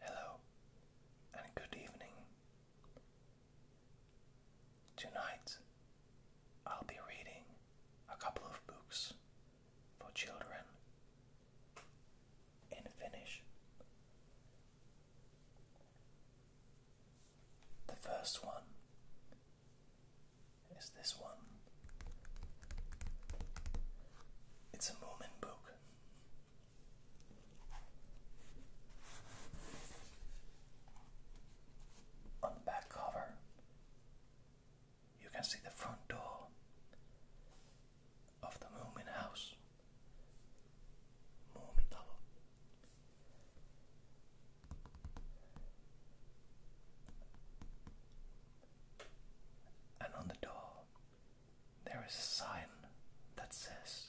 Hello and good evening. Tonight I'll be reading a couple of books for children in Finnish. The first one is this one. It's a Mormon book on the back cover, you can see the front door of the Moomin house. Moomin And on the door there is a sign that says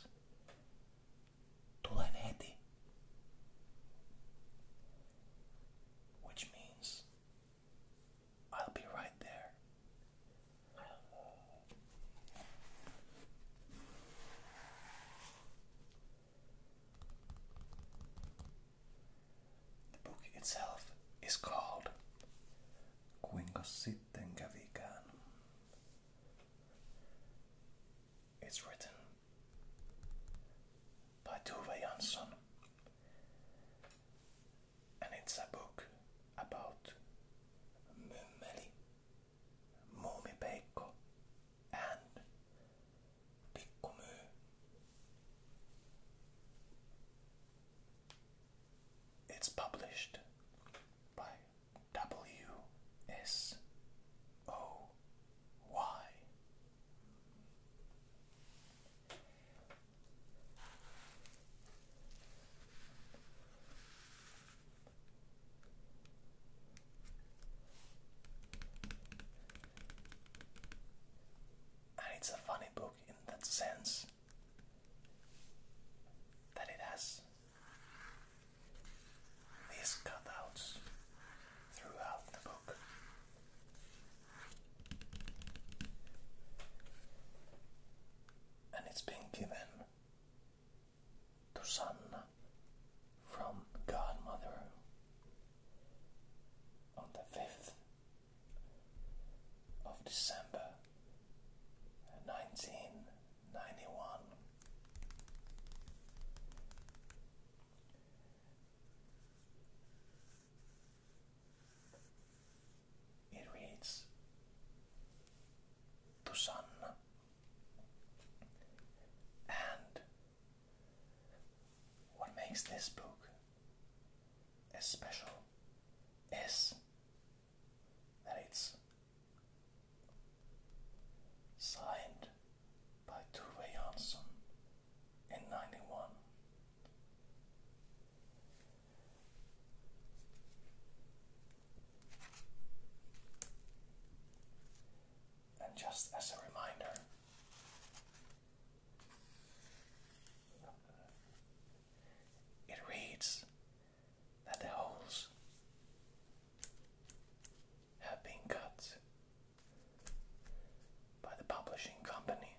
Tulenheti, which means I'll be right there. The book itself is called Quingosithium sitten kävikään. It's written by Tuve Jansson and it's a book about Mymmeli, Muumipeikko and Pikkumyy. It's published by WSOY. And it's a funny book in that sense that it has these cutouts throughout the book. And it's given to son from godmother on the 5th of December nineteen ninety one. It reads to sun and what makes this book special is and it's signed by Tuve Jansson in 91. And just as a reminder, it reads that the holes have been cut by the publishing company.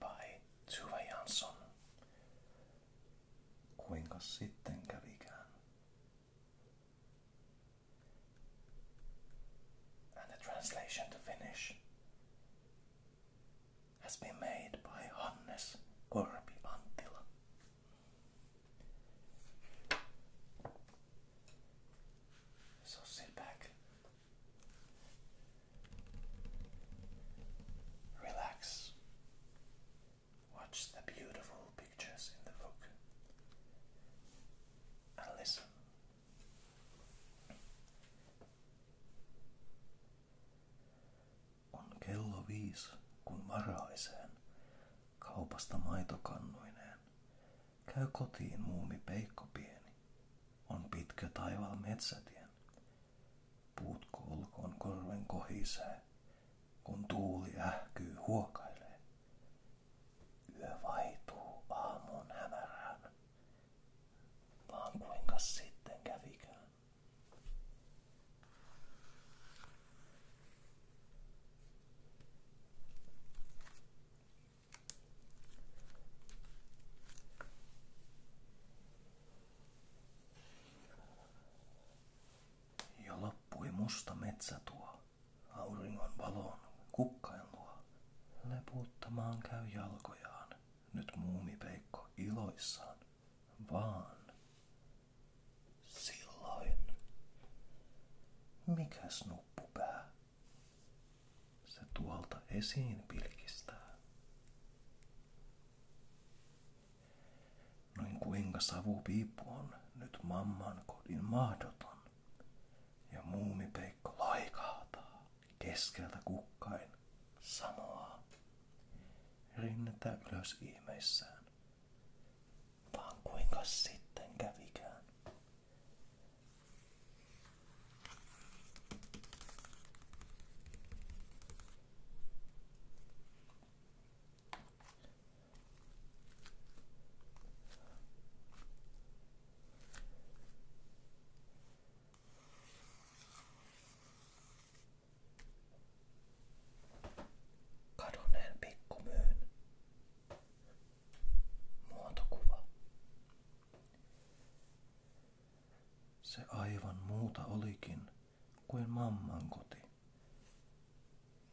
By Tuva Jansson, kuinka sitten kävikään? and the translation to Finnish has been made by Hannes Korpi Antila. So sit back, relax, watch the beautiful pictures in the book, and listen On kello viisi, kun maraiseen, kaupasta maitokannuineen. Käy kotiin muumi peikko pieni, on pitkä taival metsätien. Puutko olkoon korven kohisee, kun tuuli ähkyy huokailee. Yö vaihtuu aamun hämärään, vaan kuinka sitten kävikään. Auringon valon kukkailua leputtamaan käy jalkojaan. Nyt muumi peikko iloissaan, vaan silloin. Mikäs nuppupää? Se tuolta esiin pilkistää. Noin kuinka savupiippu on nyt mamman kodin mahdoton. Ja muumipeikko laikahtaa keskeltä kukkain sanoa rinnettä ylös ihmeissään. Vaan kuinka sitten kävikään? Kadoneen pikkumyyn muotokuva. Se aivan muuta olikin kuin mamman koti.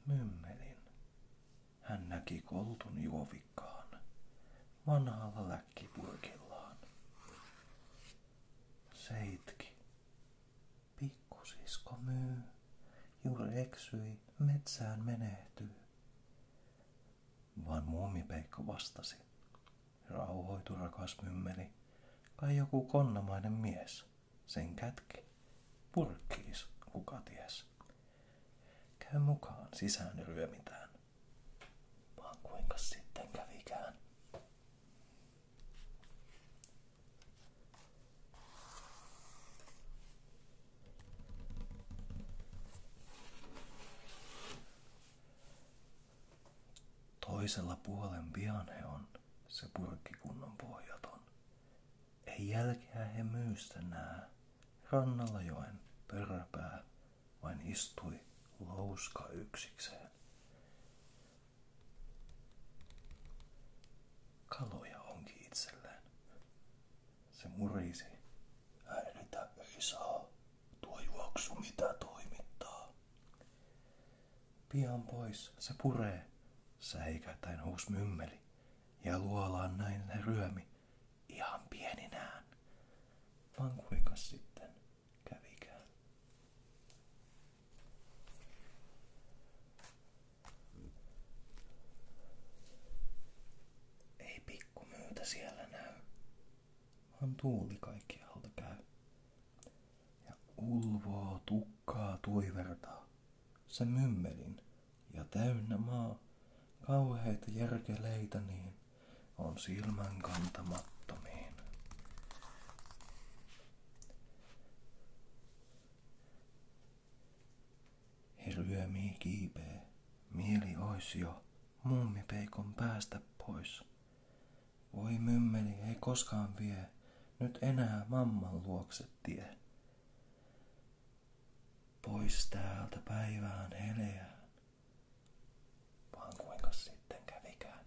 Mymmelin hän näki koltun juovikkaan vanhalla läkkipurkillaan. Seitki, pikkusisko myy, juuri eksyi, metsään menehtyy. Vaan muumipeikko vastasi. Rauhoitu rakas mymmeli, kai joku konnamainen mies, sen kätki, purkkiis, kuka ties. Käy mukaan, sisään ryömitään. Vaan kuinka sitten kävikään? Toisella puolen pian he on, se purkkikunnon pohjaton. Ei jälkeä he myystä nää. Rannalla joen pörräpää vain istui louska yksikseen. Kaloja onkin itselleen. Se murisi. Häiritä ei saa. Tuo juoksu mitä toimittaa. Pian pois se puree, säikätäen uusi mymmeli, ja luolaan näin ne ryömi ihan pieninään, vaan kuinka sitten kävikään. Ei pikku pikkumyytä siellä näy, vaan tuuli kaikkialta käy. Ja ulvoo tukkaa tuivertaa se mymmelin ja täynnä maa kauheita järkeleitä niin on silmän kantamattomiin. He ryömii kiipee, mieli ois jo mummipeikon päästä pois. Voi mymmeli ei koskaan vie, nyt enää mamman luokse tie pois täältä päivään heleään. Vaan kuinka sitten kävikään.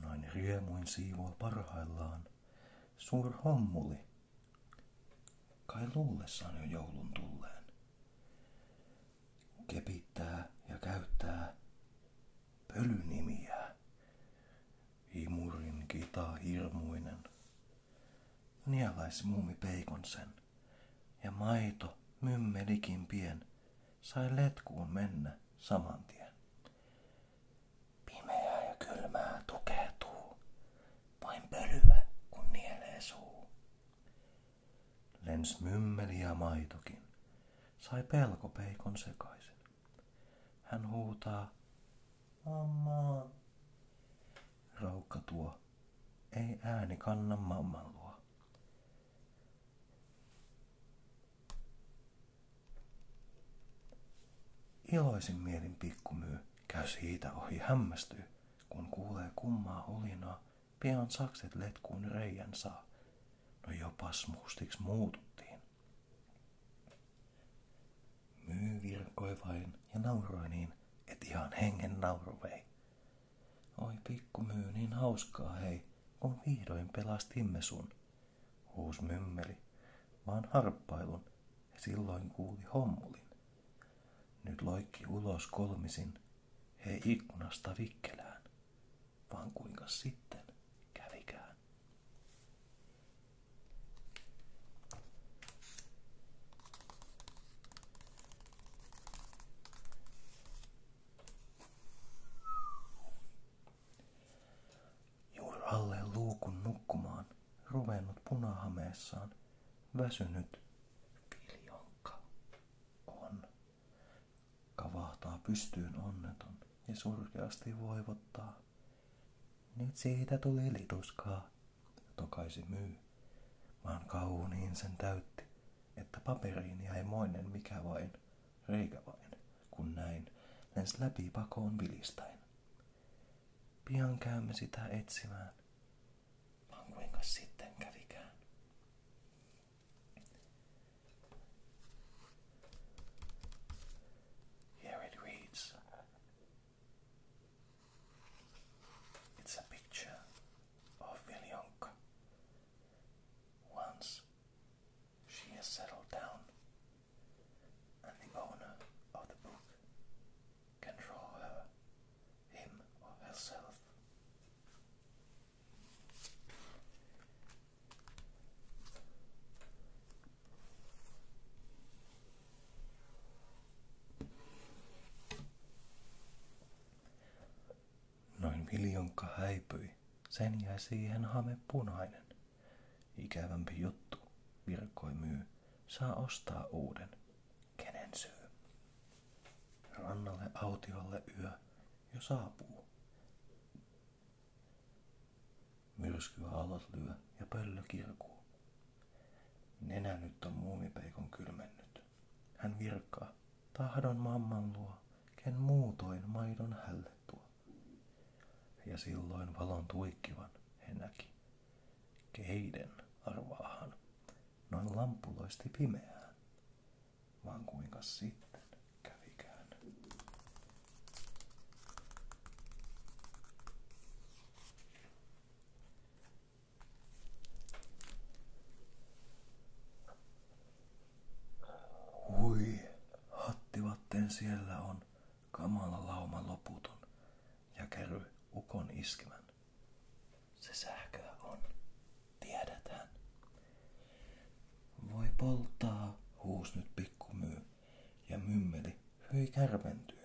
Noin riemuin siivoo parhaillaan suur hommuli, kai luullessaan jo joulun tulleen. Kepittää ja käyttää pölynimiä. Imurin kita hirmuinen. Nielais muumi sen, ja maito mymmelikin pien sai letkuun mennä saman tien. Pimeää ja kylmää tukehtuu, vain pölyä kun nielee suu. Lens mymmeli ja maitokin, sai pelko peikon sekaisin. Hän huutaa, mamma, Raukka tuo, ei ääni kanna mamman luo. Iloisin mielin pikkumyy käy siitä ohi hämmästyy, kun kuulee kummaa hulinaa, pian sakset letkuun reijän saa. No jopa mustiks muututtiin. Myy virkoi vain ja nauroi niin, et ihan hengen nauru vei. Oi pikkumyy niin hauskaa hei, kun vihdoin pelastimme sun huus mymmeli, vaan harppailun ja silloin kuuli hommulin. Nyt loikki ulos kolmisin, he ikkunasta vikkelään, vaan kuinka sitten kävikään. Juuri alle luukun nukkumaan, ruvennut punahameessaan, väsynyt kiljonkka on. Kavahtaa pystyyn onneton ja surkeasti voivottaa. Nyt siitä tuli lituskaa, tokaisi myy, vaan kauniin sen täytti, että paperiin jäi moinen mikä vain, reikä vain kun näin, lensi läpi pakoon vilistäen. Pian käymme sitä etsimään, vaan kuinka sitten kävikään. Here it reads. It's a picture of Viljonka. Once She has settled down, and the owner of the book can draw her, him, or herself. Noin miljon kaipui. Sen jäi siihen hame punainen. Ikävämpi juttu, virkoi myy, saa ostaa uuden. Kenen syy? Rannalle autiolle yö jo saapuu. Myrsky alas lyö ja pöllö kirkuu. Nenä nyt on muumipeikon kylmennyt. Hän virkaa, tahdon mamman luo, ken muutoin maidon hälle tuo. Ja silloin valon tuikkivan he näki. Keiden arvaahan noin lampuloisti pimeään. Vaan kuinka sitten kävikään. Hui, hattivatten siellä on kamala lauma loputon ja käry ukon iskemän. Se sähköä on, tiedetään. Voi polttaa, huus nyt pikkumyy, ja mymmeli hyi kärventyy,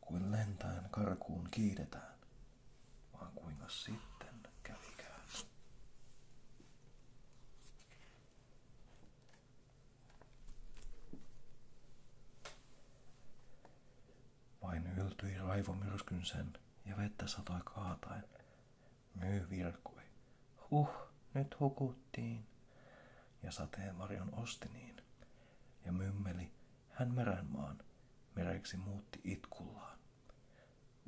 kuin lentäen karkuun kiidetään. Vaan kuinka sitten kävikään. Vain yltyi raivomyrskyn sen ja vettä satoi kaataen. Myy virkui. Huh, nyt hukuttiin. Ja sateenvarjon osti niin. Ja mymmeli hän merenmaan, mereksi muutti itkullaan.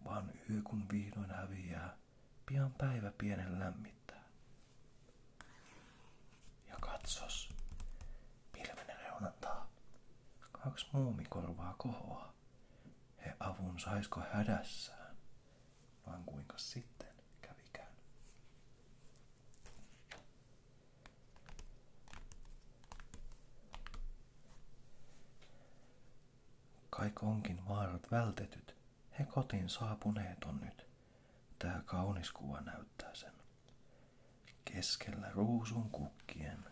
Vaan yö kun vihdoin häviää, Pian päivä pienen lämmittää. Ja katsos, pilven reunantaa. Kaksi muumikorvaa kohoa. He avun saisko hädässään. Vaan kuinka sitten kävikään. Kaik onkin vaarat vältetyt, he kotiin saapuneet on nyt. Tää kaunis kuva näyttää sen. Keskellä ruusun kukkien.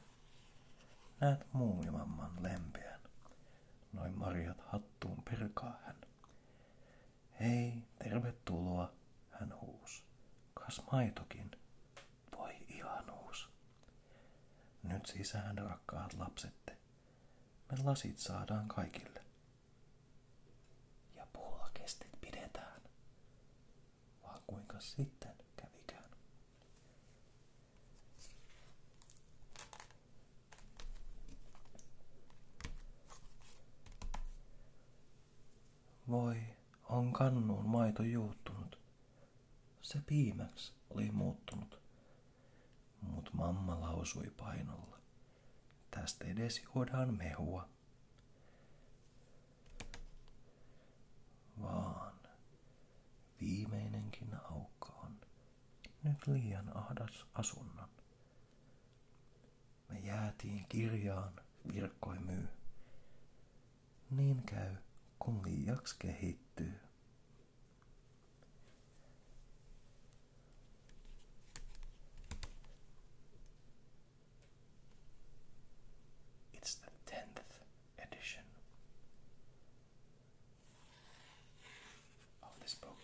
Näet muumimamman lempeän. Noin marjat hattuun perkaa hän. Hei, tervetuloa, hän huus. Kas maitokin, voi ihanuus. Nyt sisään rakkaat lapsette. Me lasit saadaan kaikille ja puolakestit pidetään. Vaan kuinka sitten kävikään. Voi, on kannuun maito juuttunut. Se piimäksi oli muuttunut, Mut mamma lausui painolla. Tästä edes juodaan mehua. Vaan viimeinenkin aukko on nyt liian ahdas asunnon. Me jäätiin kirjaan virkkoi myy. Niin käy, kun liiaksi kehittyy. It's the tenth edition of this book.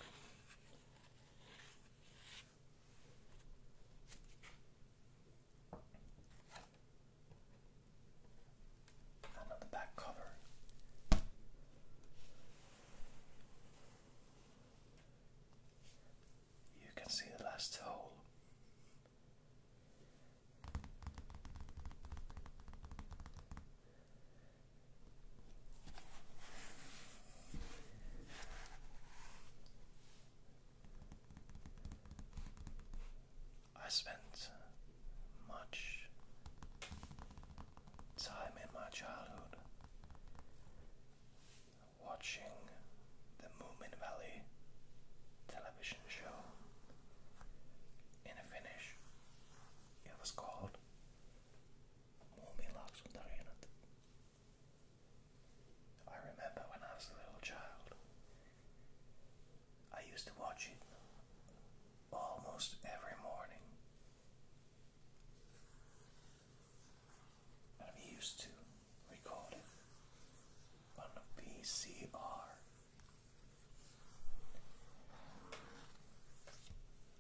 And on the back cover, you can see the last hole. I spent much time in my childhood watching the Moomin Valley television show in Finnish. It was called Muumilaaksotarinat. I remember when I was a little child, I used to watch it almost every morning. I'm used to recording on a VCR.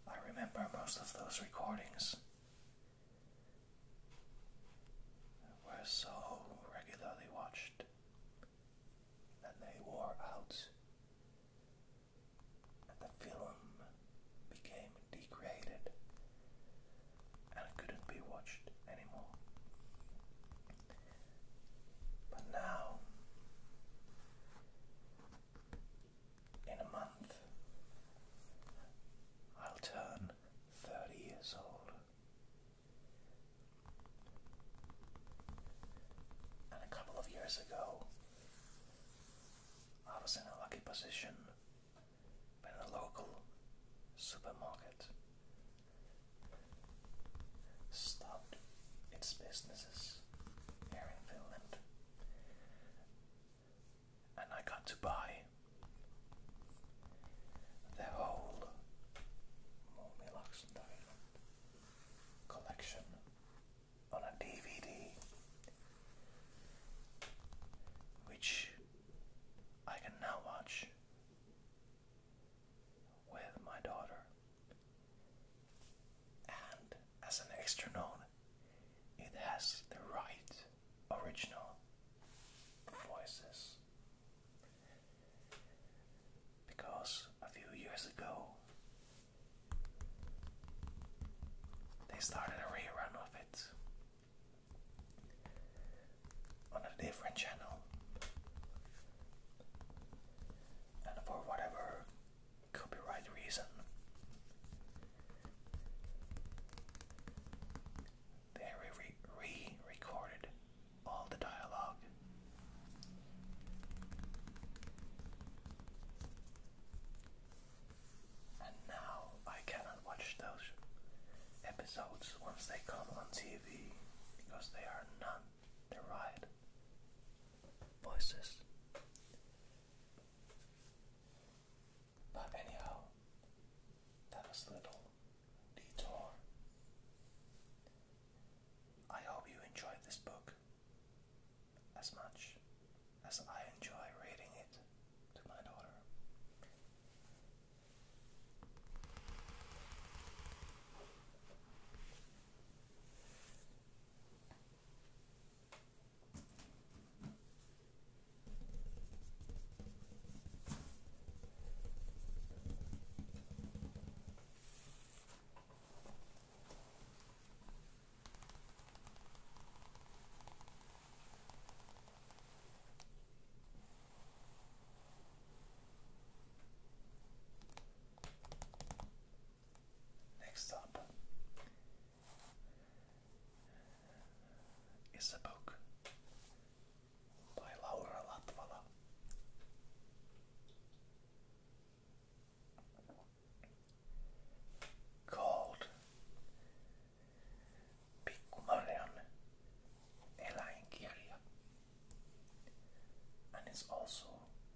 I remember most of those recordings were so regularly watched that they wore out the film became degraded and couldn't be watched anymore. But now, in a month, I'll turn 30 years old. And a couple of years ago, I was in a lucky position in a local supermarket stopped its businesses here in Finland and I got to buy the whole Moomi collection on a DVD, which I can now watch with my daughter, and as an extra note, it has the right original voices. Because a few years ago, they started a rerun of it on a different channel, and for whatever copyright reason, they re, recorded all the dialogue. And now I cannot watch those episodes once they come on TV because they are not derived voices. But anyhow, that was little detour. I hope you enjoyed this book as much as I enjoy reading it to my daughter. Next up is a book by Laura Latvala called Pygmalion Elangeria and is also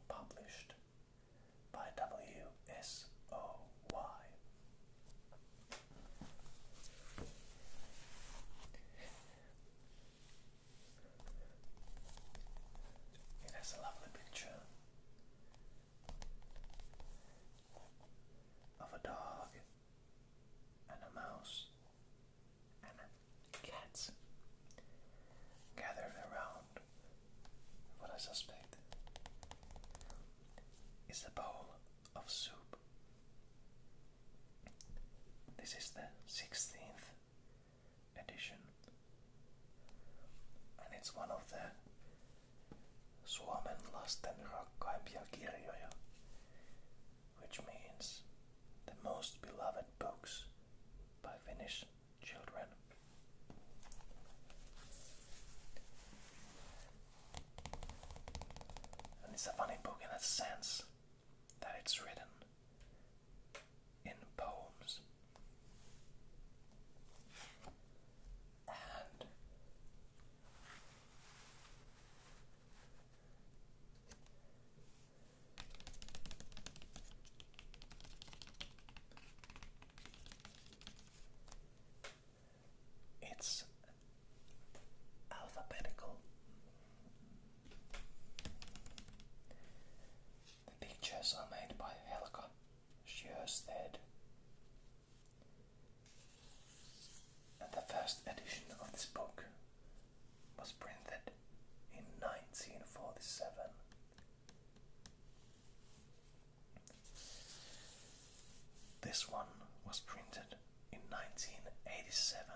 published by WSOY. It has a lovely picture of a dog and a mouse and a cats gathered around what I suspect is a bowl of soup. This is the 16th edition and it's one of the Suomen lasten rakkaimpia kirjoja, which means the most beloved books by Finnish children. And it's a funny book in a sense that it's written in poems it's alphabetical. The pictures are made by Helga Sjöstedt. And the first edition of this book was printed in 1947. This one was printed in 1987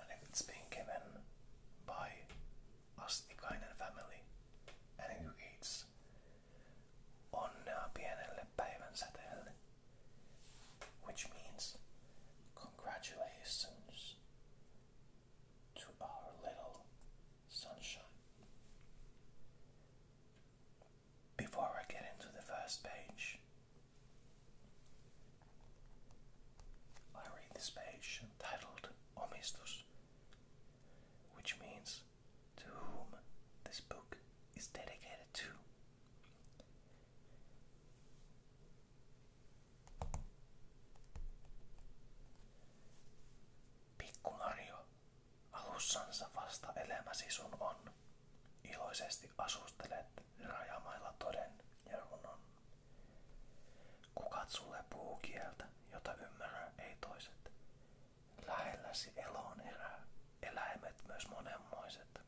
and it's being given by us, the Kainen family, and who eats onnea pienelle päivänsäteelle, which means congratulations to our little sunshine. Before I get into the first page, I read this page titled Omistus, which means to whom this book is dedicated to. Pikku Mario, alussansa vasta elämäsi sun on. Iloisesti asustelet rajamailla toden ja runon. Kukat sulle puukieltä, jota ymmärrä ei toiset. Lähelläsi eloon erää, eläimet myös monenmoiset.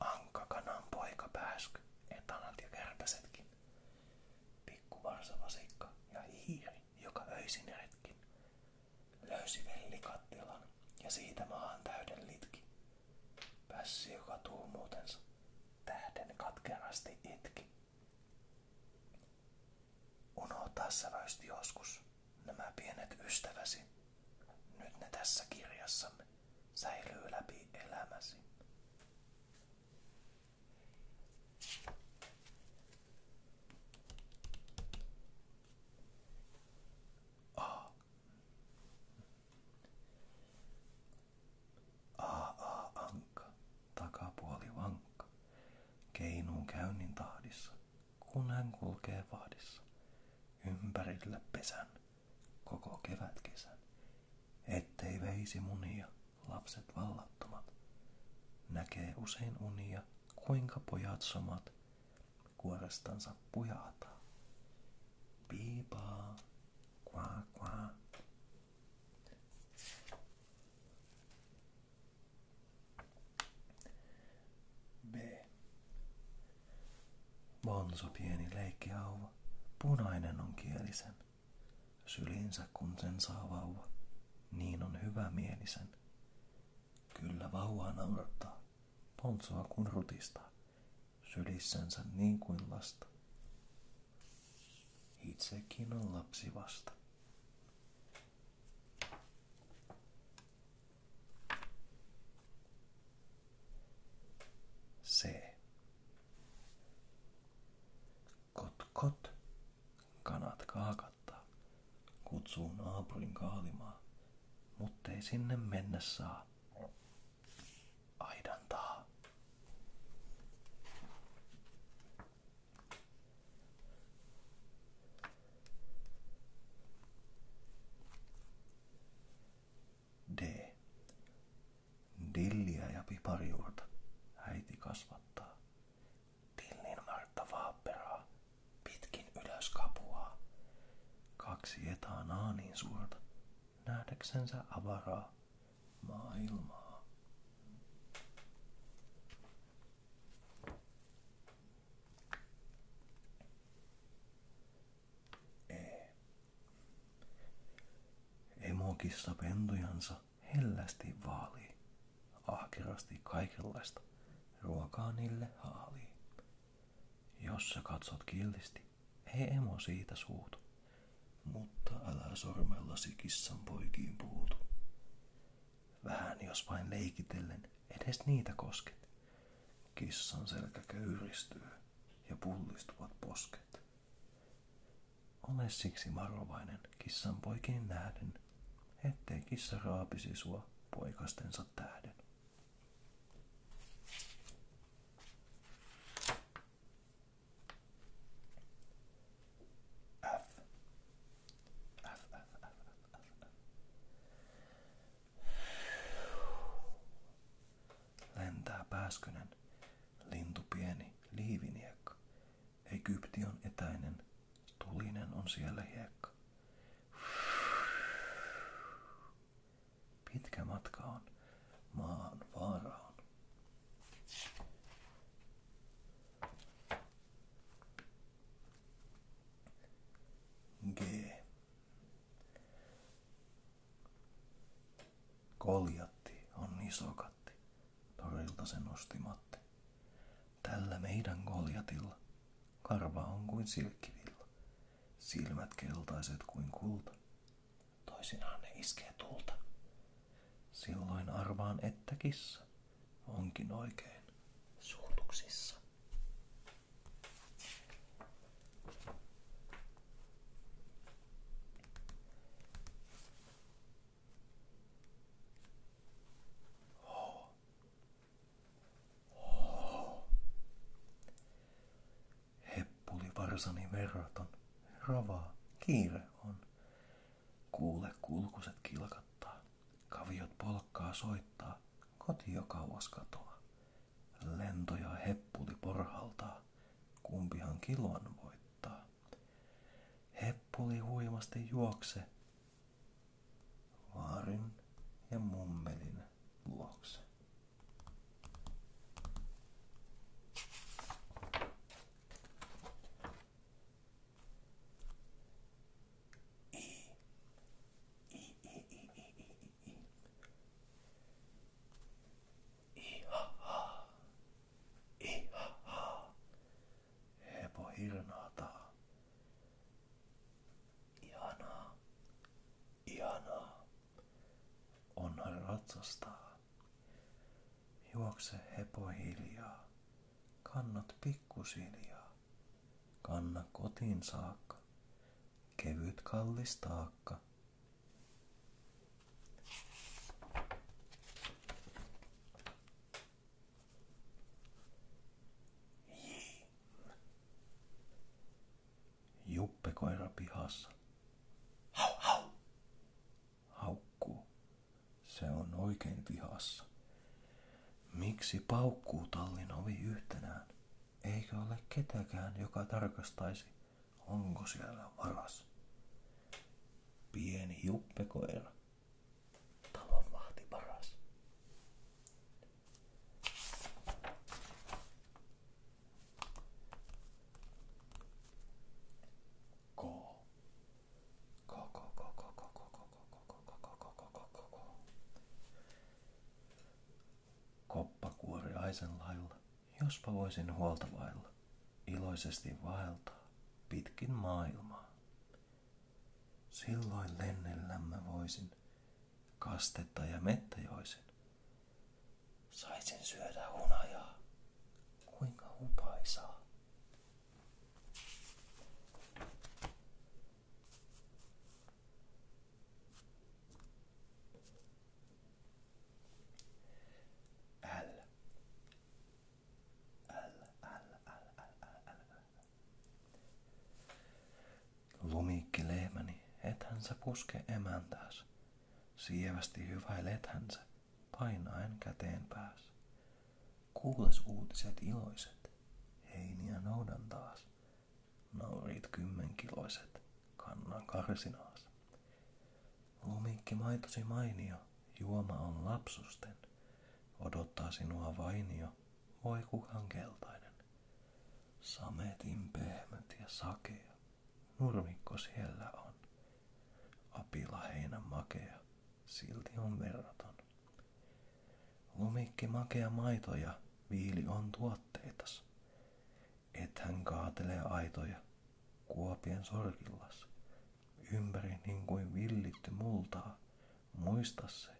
Ankka kanan poika pääsky, etanat ja ja hiiri, joka öisin retkin. Löysi vellikattilan ja siitä maahan täyden litki. Pässi, joka tuumuutensa tähden katkeasti itki. Unohtaa säväysti joskus nämä pienet ystäväsi. Nyt ne tässä kirjassamme säilyy läpi elämäsi. A. AA-ankka, takapuoli vankka, keinuu käynnin tahdissa, kun hän kulkee vahdissa. Ympärillä pesän, koko kevätkesän, ettei veisi munia lapset vallattomat. Näkee usein unia, kuinka pojat somat kuorestansa pujata. Piipaa, kua, kua. B. Bonsu pieni leikkihauva, punainen on kielisen. Sylinsä kun sen saa vauva, niin on hyvä mielisen. Kyllä vauva naurattaa poltsaa kuin rutista, sylissänsä niin kuin lasta. Itsekin on lapsi vasta. Kot kot, kanat kaakattaa, kutsuu naapurin kaalimaa mutta ei sinne mennä saa. Aidan D. Dilliä ja piparjuurta äiti kasvattaa. Tillin Martta Vaapperaa pitkin ylös kapuaa. Kaksi etanaa niin suurta, nähdäksensä avaraa maailmaa. Ei. Emokissa pentujansa hellästi vaalii, ahkerasti kaikenlaista ruokaa niille haalii. Jos sä katsot kiltisti, ei emo siitä suutu. Mutta älä sormellasi kissan poikiin puutu. Vähän jos vain leikitellen, edes niitä kosket. Kissan selkä köyristyy ja pullistuvat posket. Ole siksi varovainen kissan poikiin nähden, ettei kissa raapisi sua poikastensa tähden. F. F, F, F, F, F, F. Lentää pääskynen, lintu pieni, liiviniekka. Egypti on etäinen, tulinen on siellä hiekka. Pitkä matka on maan vaaraan. G. Koljatti on iso katti, torilta se nosti Matti. Tällä meidän koljatilla karva on kuin silkkivilla silmät keltaiset kuin kulta. Toisinaan ne iskee tulta. Silloin arvaan, että kissa onkin oikein suutuksissa. Heppuli varsani verraton, ravaa, kiire on. Kuule kulkuset kilkattaa, kaviot polkkaa soittaa, koti jo kauas katoa. Lentoja heppuli porhaltaa, kumpihan kilon voittaa. Heppuli huimasti juokse, vaarin ja mummelin vuoksi. I. I, I, I, I, I, I. Ihaha, ihaha, hepo hirnaataa, Ihanaa, ihanaa, onhan ratsastaa. Juokse hepo hiljaa, kannat pikkusiljaa, kanna kotiin saakka, kevyt kallis taakka. Juppe koira pihassa. Hau hau! Haukkuu. Se on oikein pihassa. Miksi paukkuu tallin ovi yhtenään? Eikö ole ketäkään, joka tarkastaisi, onko siellä varas? Pieni juppekoira. Talon vahti Koppa kuori aisenlailla, jospa voisin huolta iloisesti vaeltaa pitkin maailmaa. Silloin lennellämme voisin kastetta ja mettäjoisen. Sai sen syödä hunajaa. Kuinka upaisaa. L. L, L, L, L, L, Lumikki lehmäni, niin ethän sä puske emäntääs. Sievästi hyväilet hänsä, painaen käteen pääs. Kuules uutiset iloiset, heiniä noudan taas. Naurit kymmenkiloiset, kannan karsinaas. Lumikki maitosi mainio, juoma on lapsusten. Odottaa sinua vainio, voi kukaan keltainen. Sametin pehmät ja sakea, nurmikko siellä on. Apila heinä makea, silti on verraton. Lumikki makea maito viili on tuotteitas. Et hän kaatele aitoja, kuopien sorkillas. Ympäri niin kuin villitty multaa, muista se,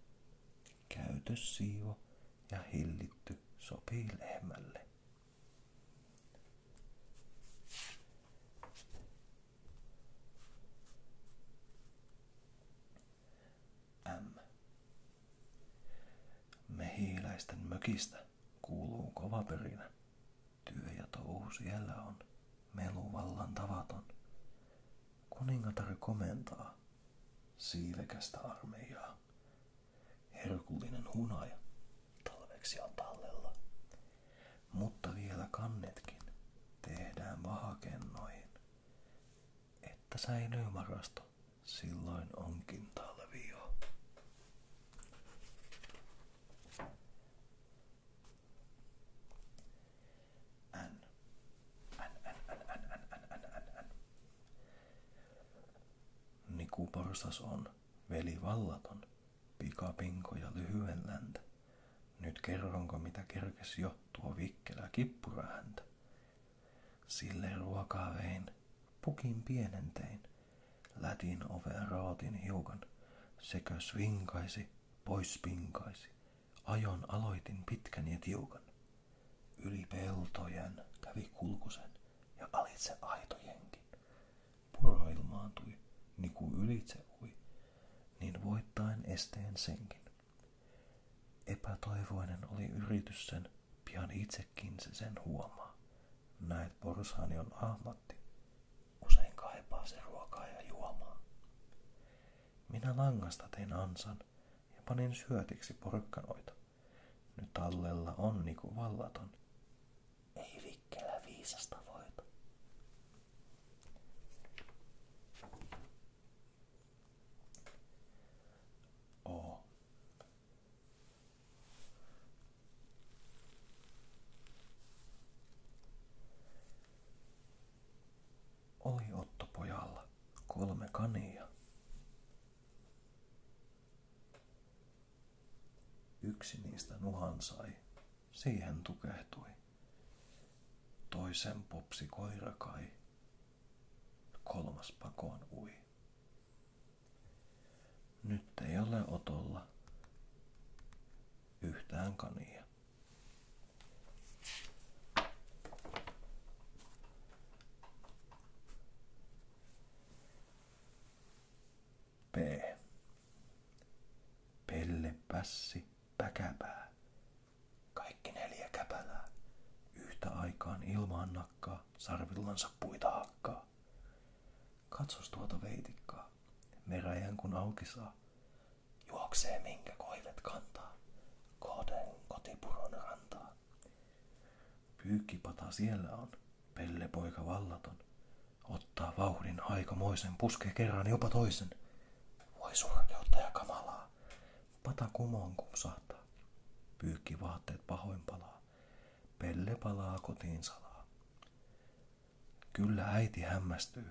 Käytös Käytössiivo ja hillitty sopii lehmälle. M. Mehiläisten mökistä kuuluu kova pörinä. Työ ja touhu siellä on meluvallan tavaton. Kuningatar komentaa siivekästä armeijaa. Herkullinen hunaja talveksi on tallella. Mutta vielä kannetkin tehdään vahakennoihin, että säilyy varasto. Silloin onkin talvi jo. Nikuporsas niin on, veli vallaton, ja lyhyen läntä. Nyt kerronko mitä kerkes jo tuo vikkelä kippurahäntä. Sille ruokaa vein, pukin pienentein, lätin oven raatin hiukan, sekä svinkaisi, pois pinkaisi. Ajon aloitin pitkän ja tiukan. Yli peltojen kävi kulkusen ja alitse aitojenkin. Puro ilmaantui, niin kuin ylitse ui, niin voittain esteen senkin. Epätoivoinen oli yritys sen, pian itsekin se sen huomaa. Näet porushani on ahmatti, usein kaipaa se ruokaa ja juomaa. Minä langasta tein ansan, ja panin syötiksi porukkanoita. Nyt tallella on niinku vallaton. Ei vikkelä viisasta voita. Oo. Oli Otto pojalla. Kolme kania. Yksi niistä nuhan sai. Siihen tukehtui. Toisen popsi koirakai. Kolmas pakoon ui. Nyt ei ole otolla yhtään kania. P. Pelle, pässi, päkäpää. Kaikki neljä käpälää. Yhtä aikaan ilmaan nakkaa, sarvillansa puita hakkaa. Katsos tuota veitikkaa, meräjän kun auki saa. Juoksee minkä koivet kantaa, kohden kotipuron rantaa. Pyykkipata siellä on, pellepoika vallaton. Ottaa vauhdin aikamoisen, puskee kerran jopa toisen. Voi surkeutta ja kamalaa. Pata kumoon kumsahtaa. Pyykki vaatteet pahoin palaa. Pelle palaa kotiin salaa. Kyllä äiti hämmästyy,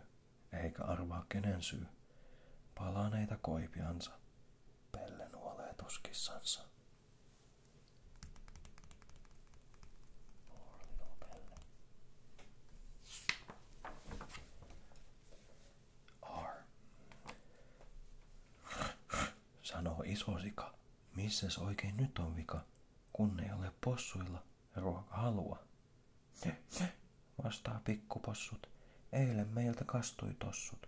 eikä arvaa kenen syy. Palaneita koipiansa Pelle nuolee tuskissansa. R. Sanoo iso sika. Missäs oikein nyt on vika, kun ei ole possuilla ruoka halua? Vastaa pikkupossut. Eilen meiltä kastui tossut.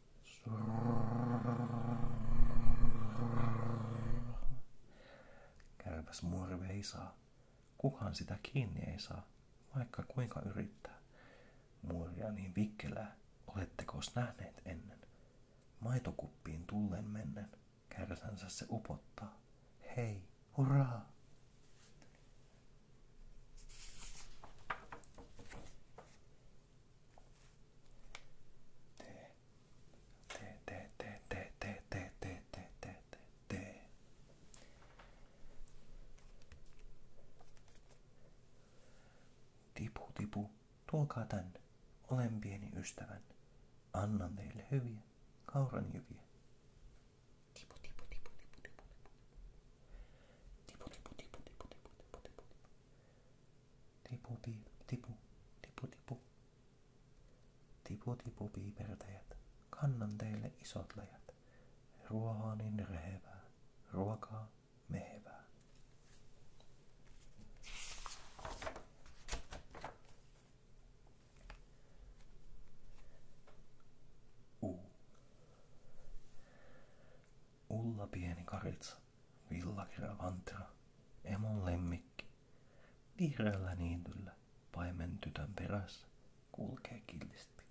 Kärpäs muorve ei saa. Kukaan sitä kiinni ei saa, vaikka kuinka yrittää. Muoria niin vikkelää, oletteko nähneet ennen? Maitokuppiin tullen mennen, kärsänsä se upottaa. Hei, hurraa! Tipu, tipu, tulkaa tänne. Olen pieni ystävän. Annan teille hyviä kauranjyviä. Tipu, tipu, tipu, tipu, tipu, tipu. Tipu, tipu, tipu, tipu, tipu, tipu, tipu. Tipu, tipu, tipu, tipu. Tipu, tipu, piipertäjät, kannan teille isot lajat, Ruohaa niin rehevää, ruokaa mehevää. Ulla pieni karitsa Villagravantra, emon lemmikki, vihreällä niityllä paimen tytön perässä kulkee killisti.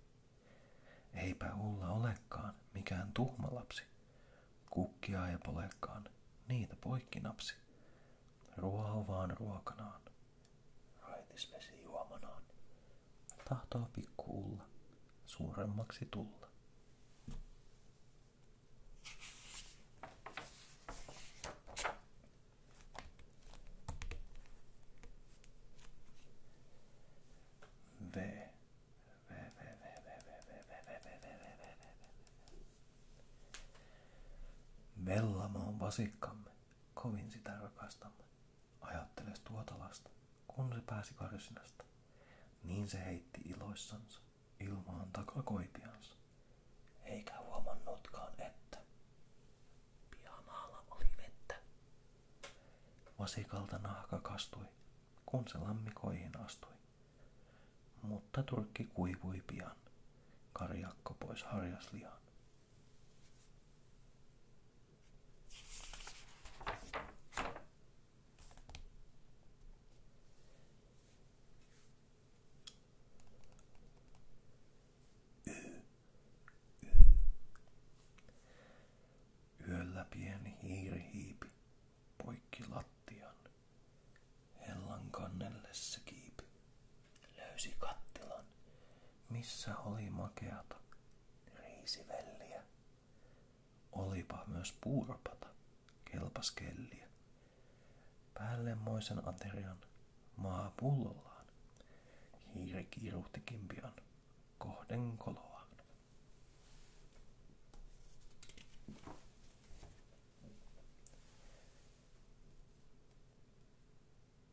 Eipä Ulla olekaan mikään tuhma lapsi, Kukkia ei polekaan, niitä poikkinapsi. Ruoho vaan ruokanaan, raitisvesi juomanaan. Tahtoo pikku suuremmaksi tulla. V. V, V, V, V, V, V, V, V, V, V, V, V. Vellamo on vasikkamme, kovin sitä rakastamme. Ajattele tuota lasta, kun se pääsi karsinasta. Niin se heitti iloissansa ilmaan takakoipiansa, eikä huomannutkaan, että pihamaalla oli vettä. Vasikalta nahka kastui, kun se lammikoihin astui. Mutta turkki kuivui pian, karjakko pois harjasliaan. Yöllä pieni hiiri hiipi, poikki lattian. Hellan kannelle se löysi kattilan, missä oli makeata riisivelliä Olipa myös puuropata, kelpas kelliä. Päällemmoisen aterian maa pullollaan. Hiiri kiiruhti kimpian kohden koloa.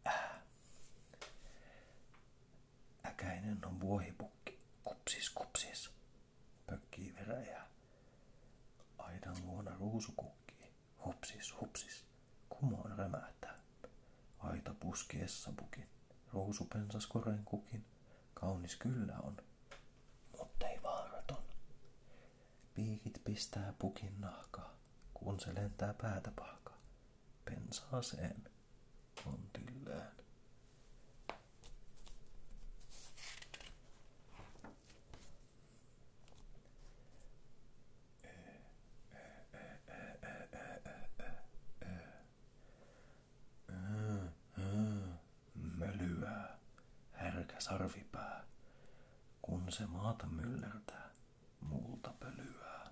Äh. Äkäinen on vuohipukki. Kupsis, kupsis pökkii veräjää. Aidan luona ruusu kukkii. hopsis hopsis Kumoon rämähtää. Aita puski essapukin. pensas koren kukin. Kaunis kyllä on, muttei vaaraton. Piikit pistää pukin nahkaa, kun se lentää päätä pahkaa. Pensaaseen on tyllään. Mölyää, härkä sarvipää, kun se maata myllertää, muulta pölyää.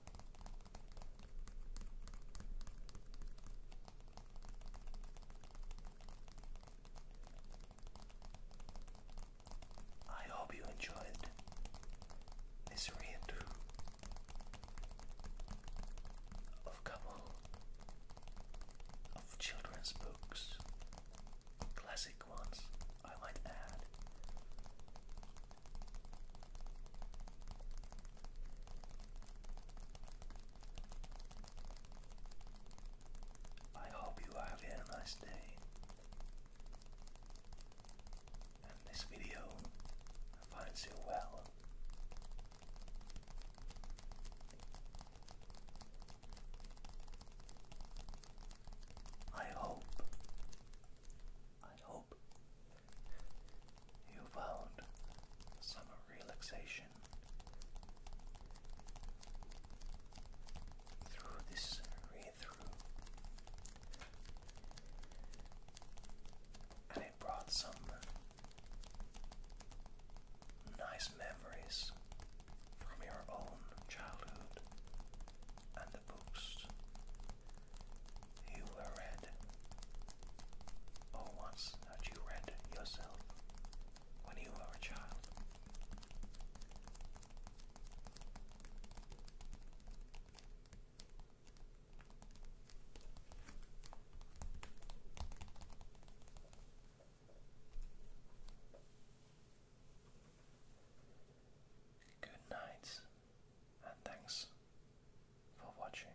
I hope you enjoyed this read of couple of children's books, classic ones I might add. I hope you are having a nice day. And this video finds you well. I hope, I hope you found some relaxation through this read through, and it brought some nice memories from your own childhood and the books you were red. Or once that you read yourself when you were a child. Good night, and thanks for watching.